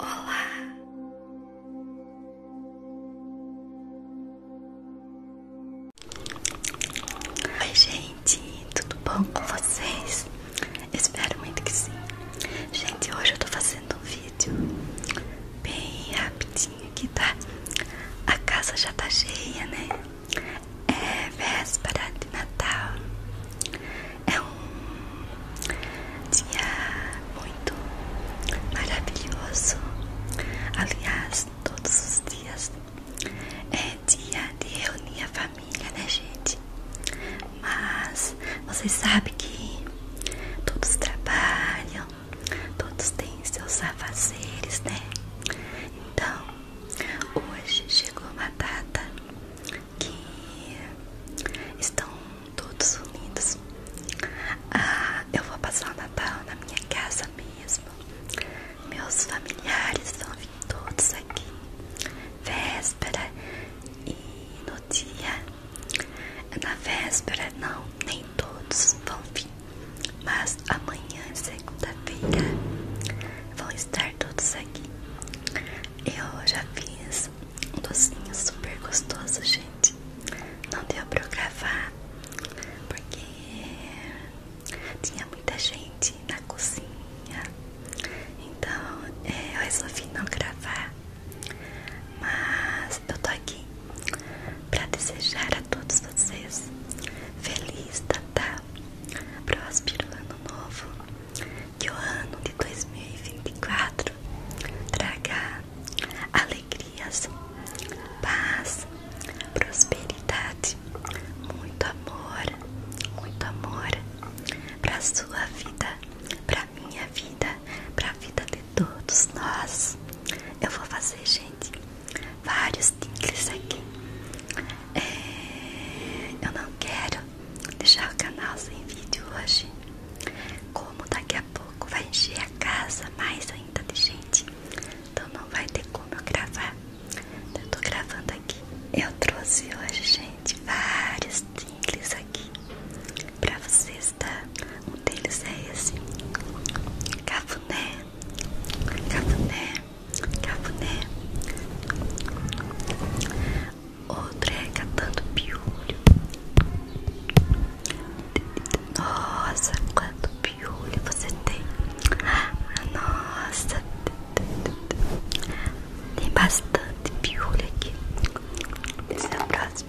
Olá. Oi, gente, tudo bom com vocês? Espero muito que sim. Gente, hoje eu tô fazendo um vídeo bem rapidinho aqui, tá? A casa já tá cheia, né? É véspera de Natal. É um dia muito maravilhoso. Aliás, todos os dias é dia de reunir a família, né, gente? Mas vocês sabem que todos trabalham, todos têm seus afazeres, né? Então, hoje chegou uma data que estão todos unidos. Ah, eu vou passar o Natal na minha casa mesmo. Meus familiares vão vir todos aqui, véspera e no dia. Na véspera, não, nem todos vão vir, mas amanhã, segunda-feira, vão estar todos aqui. Eu já fiz um docinho super gostoso, gente. Não deu pra eu gravar porque tinha muita gente na cozinha. Então é, eu resolvi não gravar. Mas eu tô aqui pra desejar a todos vocês feliz Natal, próspero ano novo que o ano de 2024 traga alegrias, paz, prosperidade, muito amor, muito amor para sua vida, para minha vida, para a vida de todos nós. Eu vou fazer, gente, vários tinkles aqui. É, eu não quero deixar o canal sem vídeo hoje. Como daqui a pouco vai encher a casa mais ainda de gente, então não vai ter como eu gravar. eu tô gravando aqui. Eu trouxe hoje, gente, vários tingles aqui pra vocês, tá? Um deles é esse: cafuné, cafuné, cafuné. Outra é piolho. Nossa, quanto piolho você tem. Nossa, tem bastante piolho aqui. Esse é o próximo.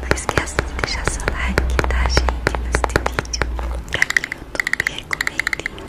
Não esqueça de deixar seu like, tá, gente? Neste vídeo, pra que o YouTube recomende.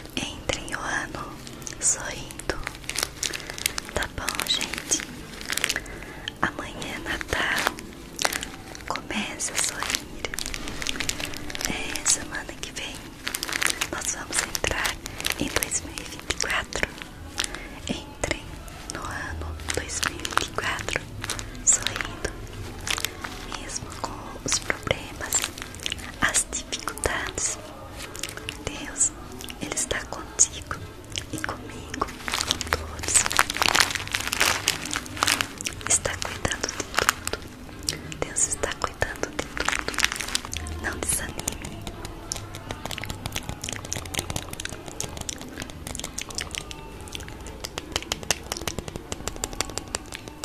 Entrem o ano sorrindo. Tá bom, gente? Amanhã é Natal. Começa a sorrir. É, semana que vem nós vamos entrar em 2024. Entrem no ano 2024 sorrindo, mesmo com os problemas as dificuldades. Deus, Ele está contigo e comigo, com todos. Está cuidando de tudo. Deus está cuidando de tudo. Não desanime.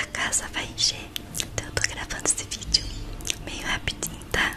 A casa vai encher, então estou gravando esse vídeo meio rapidinho, tá?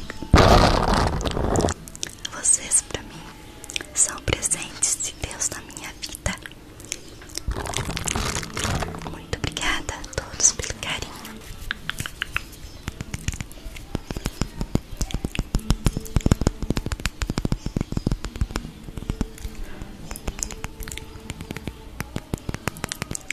Vocês para mim são presentes de Deus na minha vida. Muito obrigada a todos pelo carinho.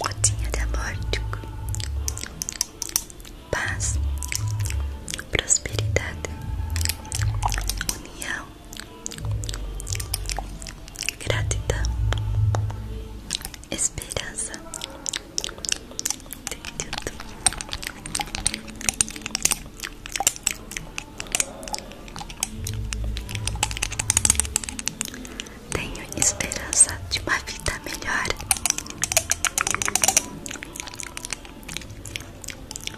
Gotinha de amor, tipo, paz, prosperidade, minha gratidão, esperança. Tenho esperança de uma vida melhor.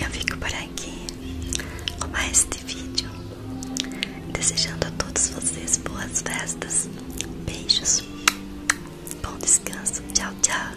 Eu fico por aqui com mais este vídeo, desejando a todos vocês boas festas, beijos, bom descanso, tchau, tchau.